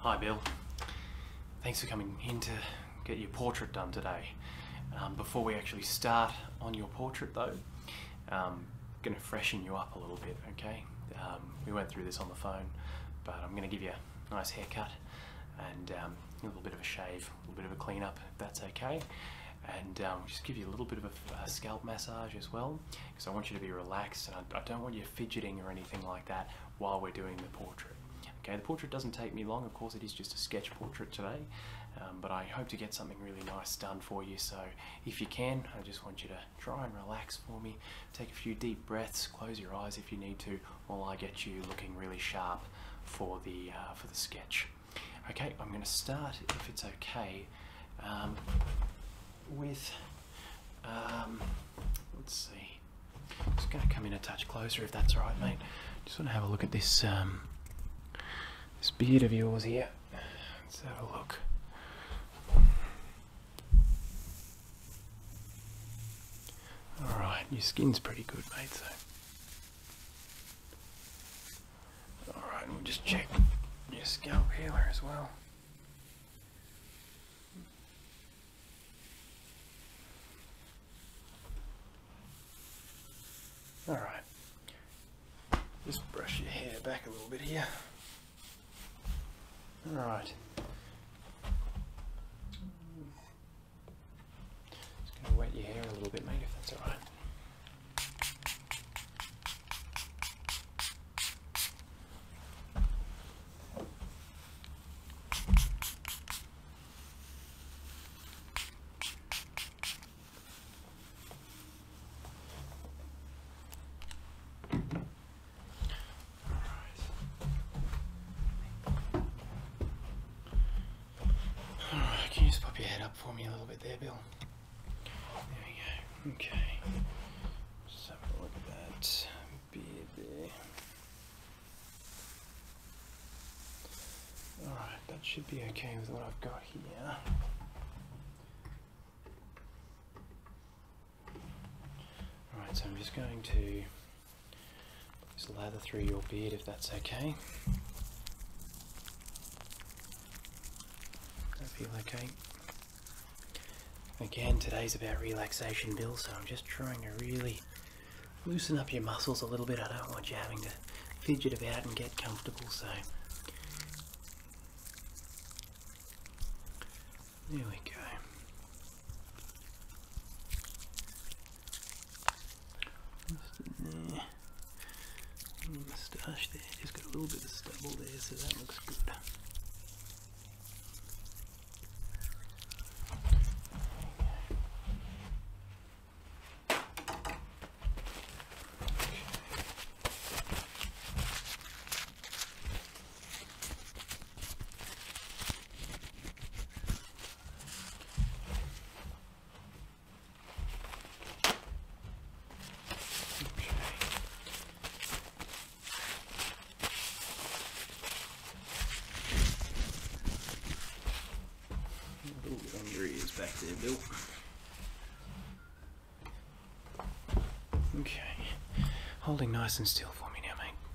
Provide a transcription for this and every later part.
Hi, Bill. Thanks for coming in to get your portrait done today. Um, before we actually start on your portrait, though, I'm um, going to freshen you up a little bit, okay? Um, we went through this on the phone, but I'm going to give you a nice haircut and um, a little bit of a shave, a little bit of a clean up, if that's okay. And um, just give you a little bit of a, scalp massage as well, because I want you to be relaxed and I, don't want you fidgeting or anything like that while we're doing the portrait. Okay, the portrait doesn't take me long, of course it is just a sketch portrait today, but I hope to get something really nice done for you, so if you can, I just want you to try and relax for me. Take a few deep breaths, close your eyes if you need to, while I get you looking really sharp for the uh, for the sketch. Okay, I'm going to start if it's okay um, with. Um, let's see. i just going to come in a touch closer if that's all right, mate. Just want to have a look at this um, this beard of yours here. Let's have a look. Alright, your skin's pretty good, mate, so. Alright, we'll just check your scalp healer as well. Alright, just brush your hair back a little bit here. All right. Just going to wet your hair a little bit, mate, if that's all right. Alright. can you just pop your head up for me a little bit there, Bill? There we go. Okay. Just have a look at that beard Alright, that should be okay with what I've got here. Alright, so I'm just going to just lather through your beard if that's okay. That feel okay? Again, today's about relaxation, Bill, so I'm just trying to really loosen up your muscles a little bit. I don't want you having to fidget about and get comfortable, so there we go. moustache there, just got a little bit of stubble there, so that looks good back there, Bill. Okay. Holding nice and still for me now, mate.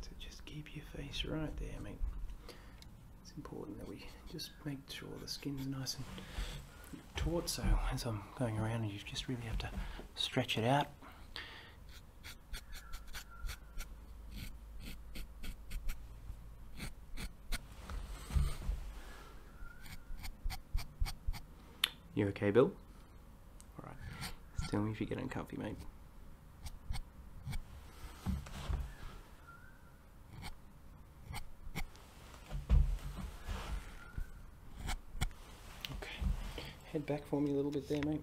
So just keep your face right there, mate. It's important that we just make sure the skin's nice and taut. So as I'm going around, you just really have to stretch it out. You okay, Bill? Alright. Tell me if you get uncomfortable, mate. Okay, head back for me a little bit there, mate.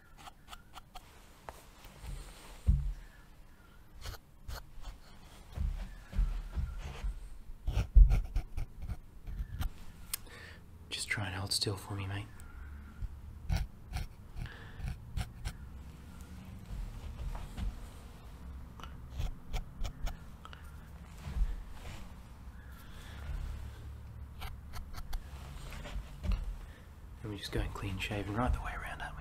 Just try and hold still for me, mate. And we just go and clean shave, and right the way around, aren't we?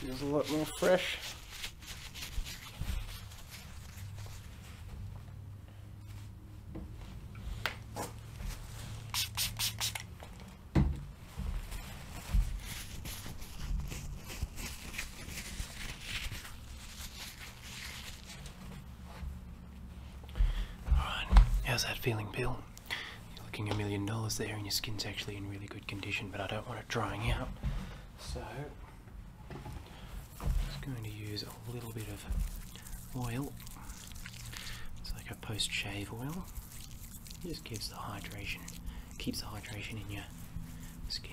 Feels a lot more fresh. Alright, how's that feeling, Bill? You're looking a million dollars there and your skin's actually in really good condition, but I don't want it drying out. So I'm just going to use a little bit of oil. It's like a post-shave oil. just gives the hydration, keeps the hydration in your skin.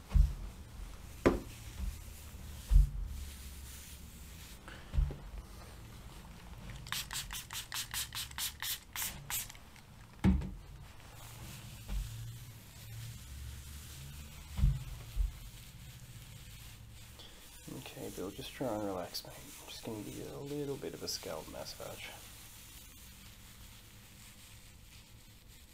Okay, Bill, just try and relax, mate. i just going to give a little bit of a scalp massage.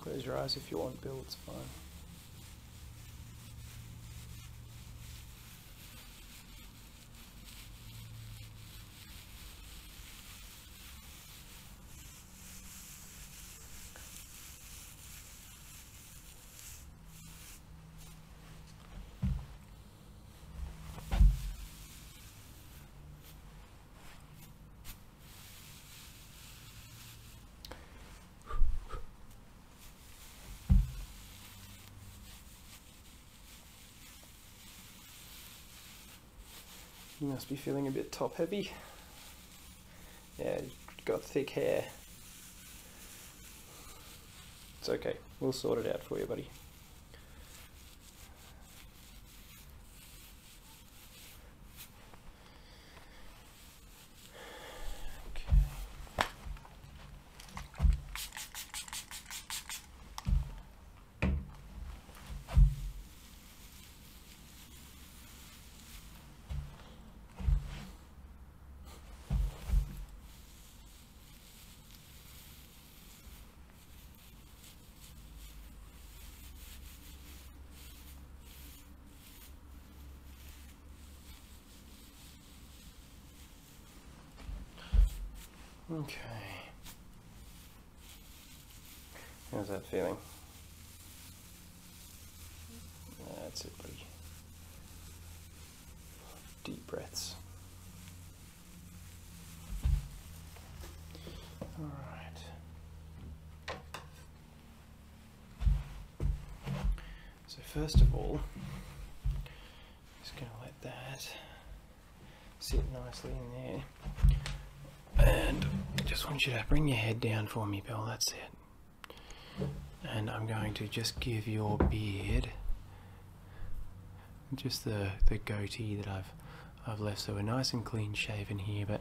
Close your eyes if you want, Bill, it's fine. You must be feeling a bit top heavy. Yeah, got thick hair. It's okay. We'll sort it out for you, buddy. Okay. How's that feeling? That's it, Deep breaths. All right. So first of all, just going to let that sit nicely in there. And I just want you to bring your head down for me, Bill. That's it and I'm going to just give your beard just the the goatee that I've I've left so we're nice and clean shaven here but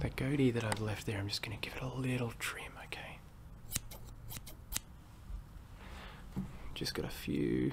the goatee that I've left there I'm just gonna give it a little trim okay just got a few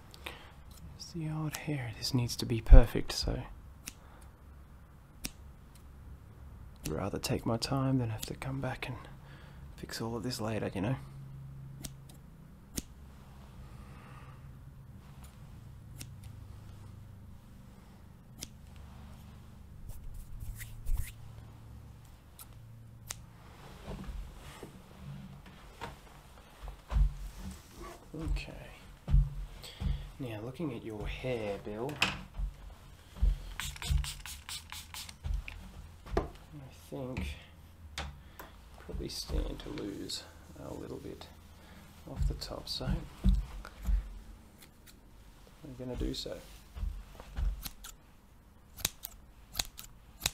It's the odd hair. This needs to be perfect, so I'd rather take my time than have to come back and fix all of this later, you know. Okay. Now, looking at your hair, Bill, I think probably stand to lose a little bit off the top, so I'm going to do so.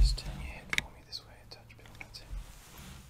Just turn your head for me this way touch bit,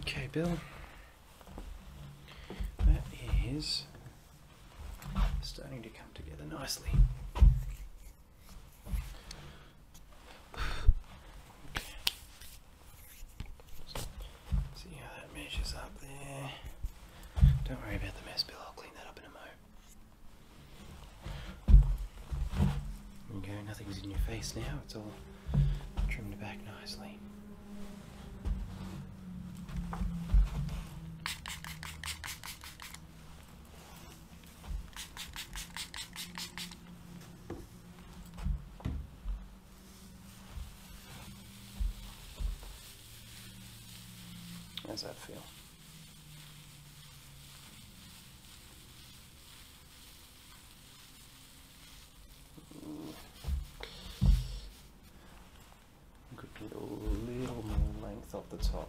Okay, Bill. That is starting to come together nicely. See how that measures up there. Don't worry about the mess, Bill. I'll clean that up in a moment. Okay, Nothing's in your face now. It's all trimmed back nicely. How's that feel? Could be a little more length off the top.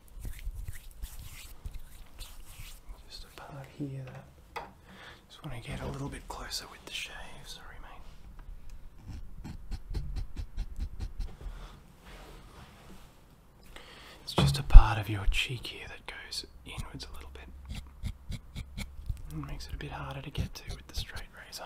Just a part here that just want to get a little bit closer with the shave, sorry It's just a part of your cheek here that goes inwards a little bit. and makes it a bit harder to get to with the straight razor.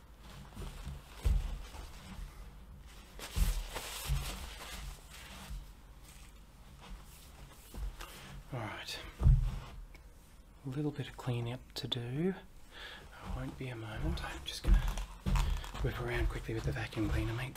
Alright, a little bit of cleaning up to do. I won't be a moment, I'm just going to whip around quickly with the vacuum cleaner, mate.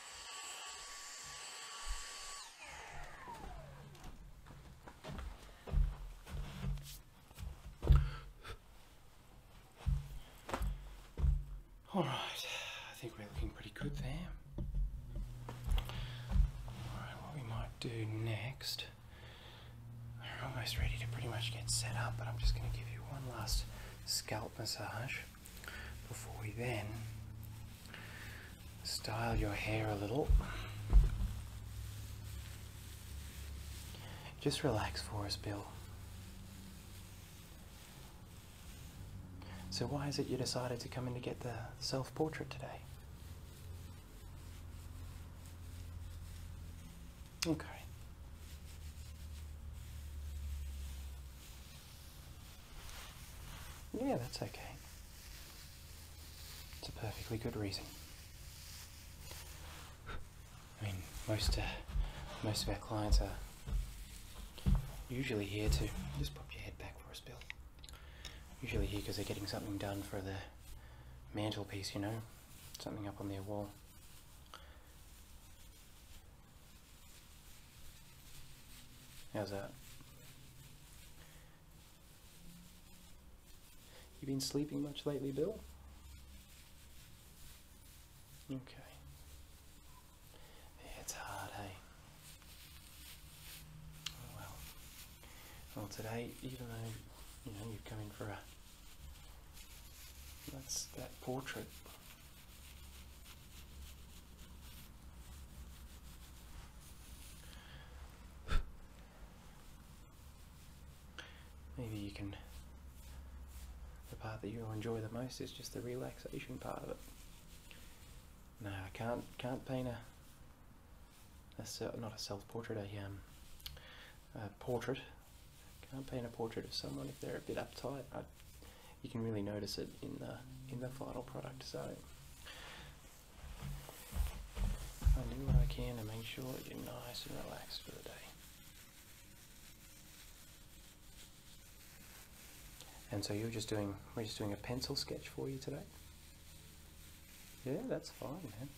All right, I think we're looking pretty good there. All right, what we might do next, we're almost ready to pretty much get set up, but I'm just gonna give you one last scalp massage before we then style your hair a little. Just relax for us, Bill. So, why is it you decided to come in to get the self portrait today? Okay. Yeah, that's okay. It's a perfectly good reason. I mean, most uh, most of our clients are usually here to just pop your head back for us, Bill. Usually here because they're getting something done for their mantelpiece, you know, something up on their wall. How's that? You been sleeping much lately, Bill? Okay. It's hard, hey? well. Well, today, even though, you know, you've come in for a... That's that portrait. Maybe you can. The part that you'll enjoy the most is just the relaxation part of it. No, I can't can't paint a. a not a self-portrait, a um, a portrait. Can't paint a portrait of someone if they're a bit uptight you can really notice it in the in the final product. So I do what I can to make sure you're nice and relaxed for the day. And so you're just doing we're just doing a pencil sketch for you today. Yeah, that's fine, man.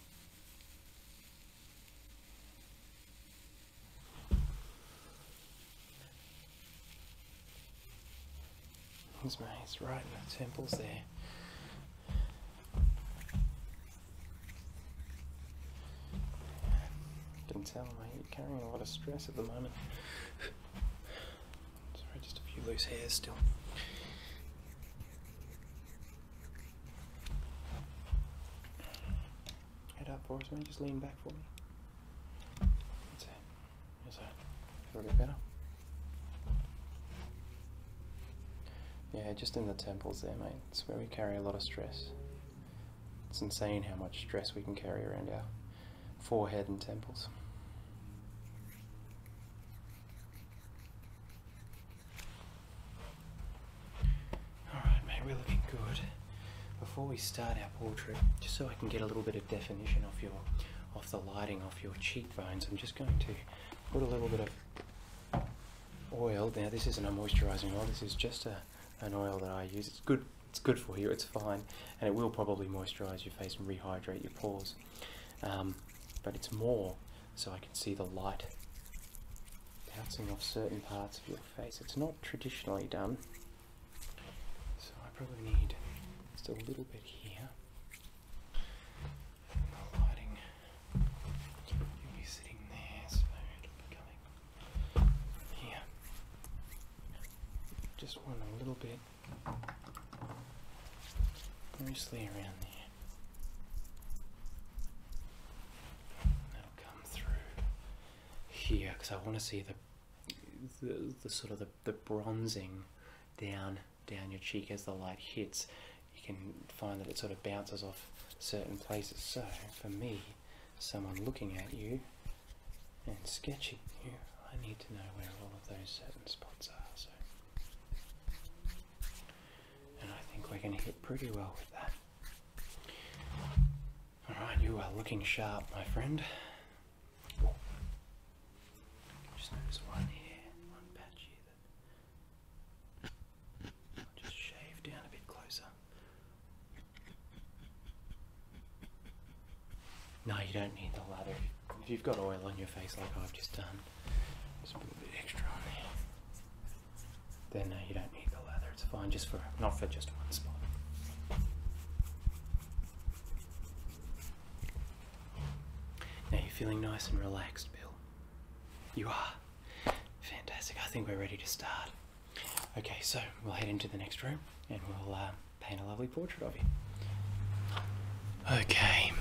He's mate, it's right in the temples there. Can tell mate, you're carrying a lot of stress at the moment. Sorry, just a few loose hairs still. Head up for us, mate, just lean back for me. That's it. Yeah, just in the temples there, mate. It's where we carry a lot of stress. It's insane how much stress we can carry around our forehead and temples. Alright, mate, we're looking good. Before we start our portrait, just so I can get a little bit of definition off your off the lighting off your cheekbones. I'm just going to put a little bit of oil. Now this isn't a moisturizing oil, this is just an oil that I use. It's good, it's good for you, it's fine, and it will probably moisturize your face and rehydrate your pores. Um, but it's more so I can see the light bouncing off certain parts of your face. It's not traditionally done so I probably need just a little bit here. the lighting will be sitting there, so coming here. Just one little bit mostly around there. That'll come through here because I want to see the, the sort of the bronzing down down your cheek as the light hits you can find that it sort of bounces off certain places so for me someone looking at you and sketching you I need to know where all of those certain spots are so and I think we're going to hit pretty well with that alright you are looking sharp my friend just notice one here, one patch just shave down a bit closer. No, you don't need the lather. If you've got oil on your face like I've just done, just a bit extra on there. Then you don't need the lather. It's fine just for not for just one spot. Now you're feeling nice and relaxed, Bill. You are. Fantastic. I think we're ready to start. Okay, so we'll head into the next room and we'll uh, paint a lovely portrait of you. Okay.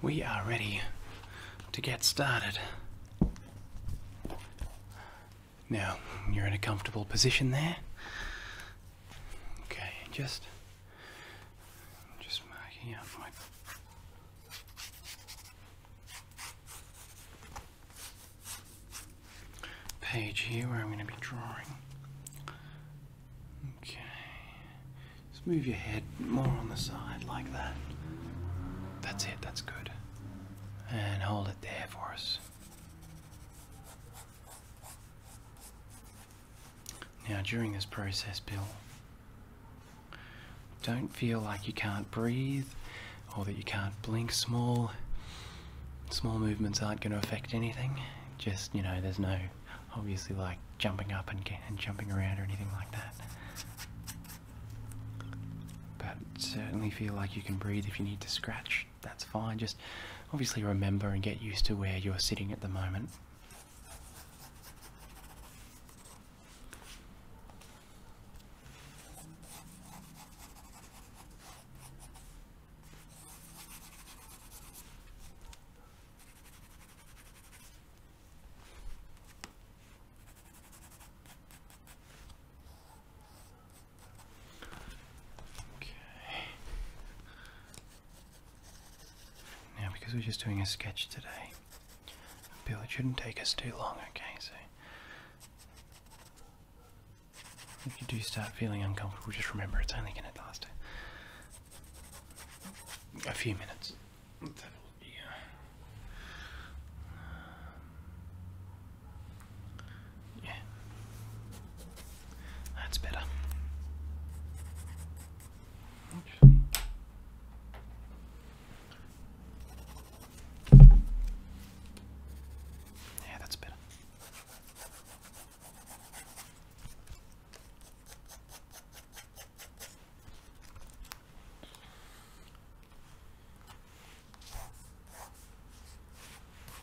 We are ready to get started. Now, you're in a comfortable position there. Okay, just just marking out my page here where I'm going to be drawing. Okay. Just move your head more on the side like that. That's it, that's good. And hold it there for us. Now, during this process, Bill, don't feel like you can't breathe or that you can't blink. Small, small movements aren't going to affect anything. Just you know, there's no obviously like jumping up and, jumping around or anything like that. But certainly feel like you can breathe if you need to scratch that's fine. Just obviously remember and get used to where you're sitting at the moment. Okay. Now, because we're just doing a sketch today, Bill, it shouldn't take us too long, okay? So, if you do start feeling uncomfortable, just remember it's only going to last a few minutes. Yeah. That's better. Yeah, that's better.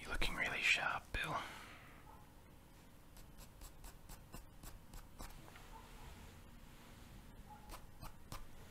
You're looking really sharp, Bill.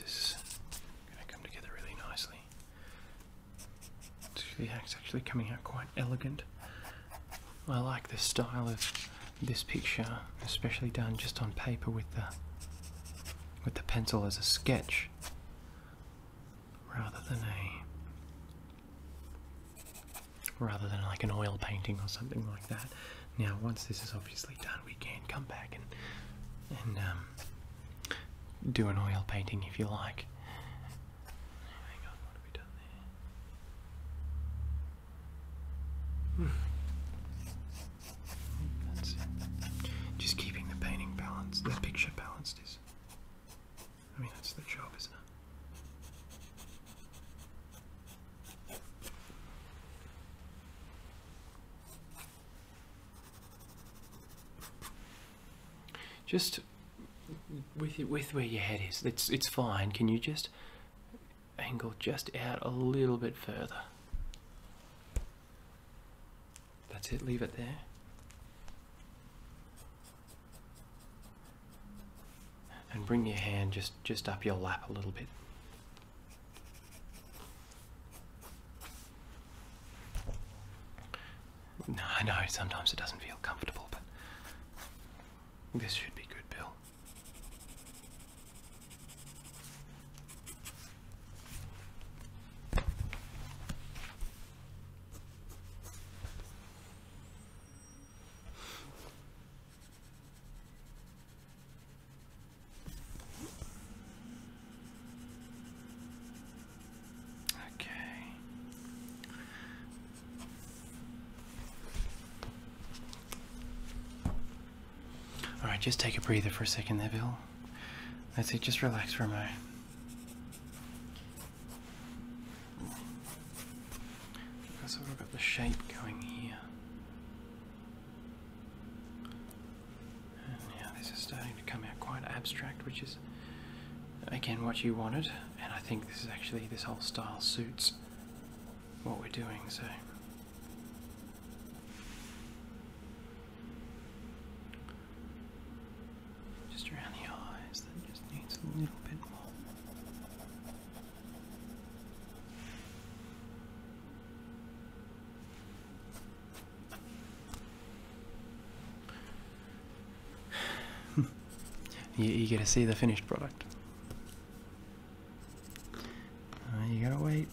this is going to come together really nicely. The act's actually coming out quite elegant. I like the style of this picture, especially done just on paper with the with the pencil as a sketch rather than a rather than like an oil painting or something like that. Now once this is obviously done we can come back and and um, do an oil painting if you like back. Just keeping the painting balanced, the picture balanced is. I mean, that's the job, isn't it? just with with where your head is, it's it's fine. Can you just angle just out a little bit further? That's it. Leave it there. And bring your hand just just up your lap a little bit. No, I know sometimes it doesn't feel comfortable, but this should be good, Bill. Okay. All right, just take a breather for a second there, Bill. That's it. Just relax for a moment. I sort of got the shape going here. And now this is starting to come out quite abstract, which is again what you wanted and I think this is actually this whole style suits what we're doing so just around the eyes that just needs a little bit more you're eager to see the finished product. Uh, you gotta wait.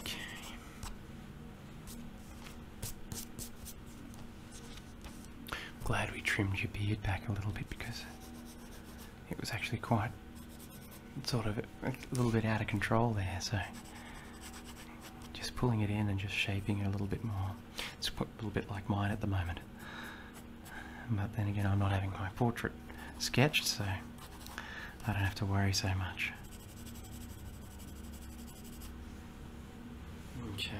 Okay glad we trimmed your beard back a little bit because it was actually quite sort of a little bit out of control there. So just pulling it in and just shaping it a little bit more. It's a little bit like mine at the moment. But then again, I'm not having my portrait sketched, so I don't have to worry so much. Okay.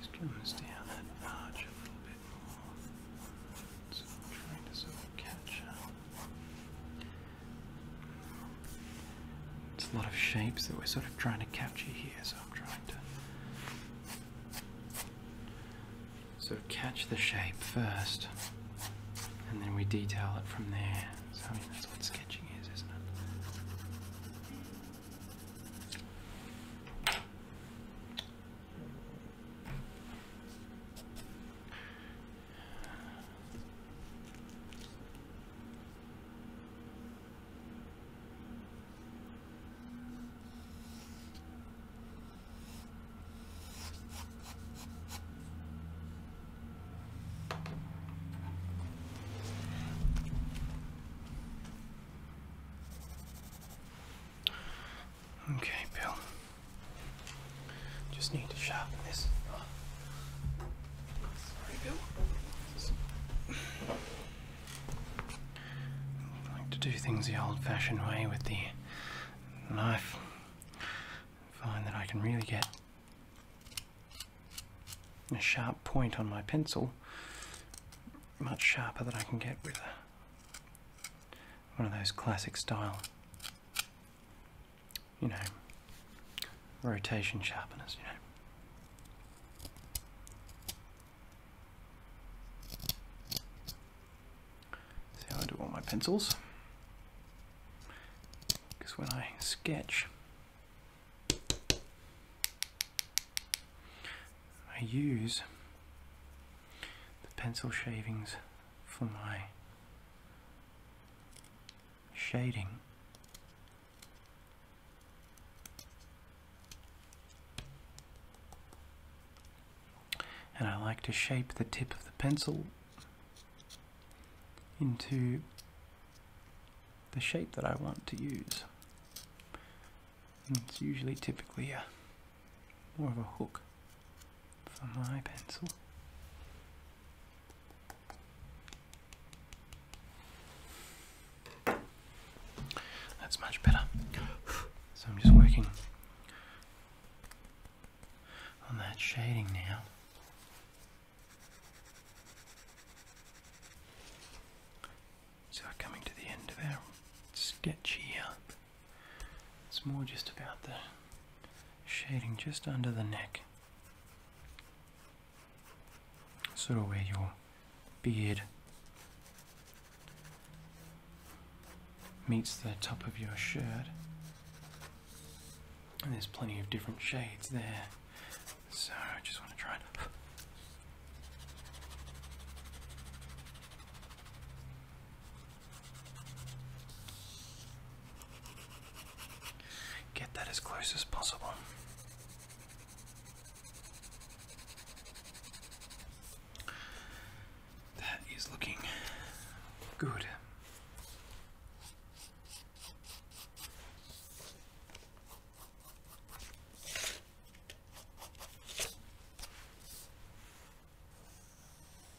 Just trim down that notch a little bit more. trying to sort of catch up. It's a lot of shapes that we're sort of trying to capture here, so I'm trying to sort of catch the shape first, and then we detail it from there. So I mean, that's what sketching is, isn't it? Okay, Bill. Just need to sharpen this. like to do things the old-fashioned way with the knife. find that I can really get a sharp point on my pencil, much sharper than I can get with one of those classic style you know, rotation sharpeners, you know. See how I do all my pencils? Because when I sketch, I use the pencil shavings for my shading. And I like to shape the tip of the pencil into the shape that I want to use. it's usually typically a, more of a hook for my pencil. That's much better. So I'm just working on that shading now. So we're coming to the end of our sketch here. It's more just about the shading just under the neck sort of where your beard meets the top of your shirt. And there's plenty of different shades there. So I just want to try and Get that as close as possible. That is looking good.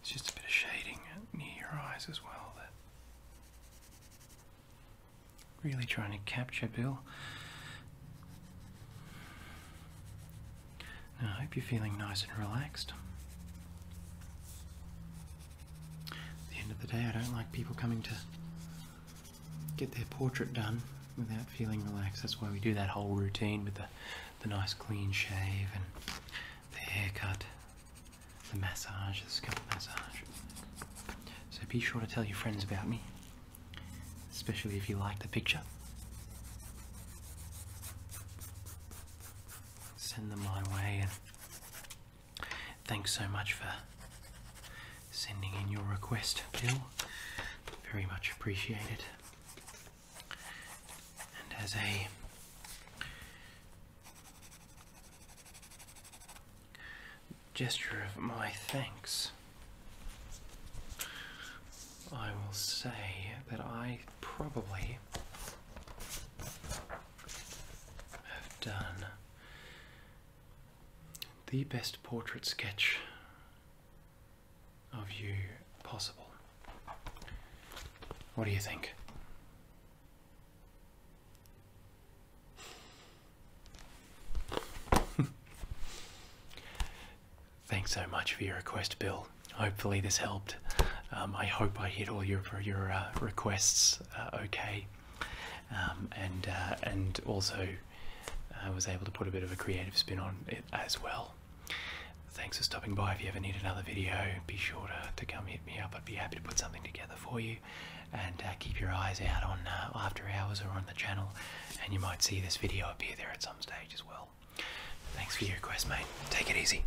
It's just a bit of shading near your eyes as well that really trying to capture Bill. I hope you're feeling nice and relaxed. At the end of the day, I don't like people coming to get their portrait done without feeling relaxed. That's why we do that whole routine with the the nice clean shave and the haircut, the massage, the scalp massage. So be sure to tell your friends about me, especially if you like the picture. Send them my way and thanks so much for sending in your request, Bill. Very much appreciated and has a gesture of my thanks, I will say that I probably have done the best portrait sketch of you possible. What do you think? Thanks so much for your request, Bill. Hopefully this helped. Um, I hope I hit all your your uh, requests uh, okay, um, and uh, and also I was able to put a bit of a creative spin on it as well. Thanks for stopping by. If you ever need another video, be sure to, come hit me up. I'd be happy to put something together for you. And uh, keep your eyes out on uh, after hours or on the channel, and you might see this video appear there at some stage as well. Thanks for your request, mate. Take it easy.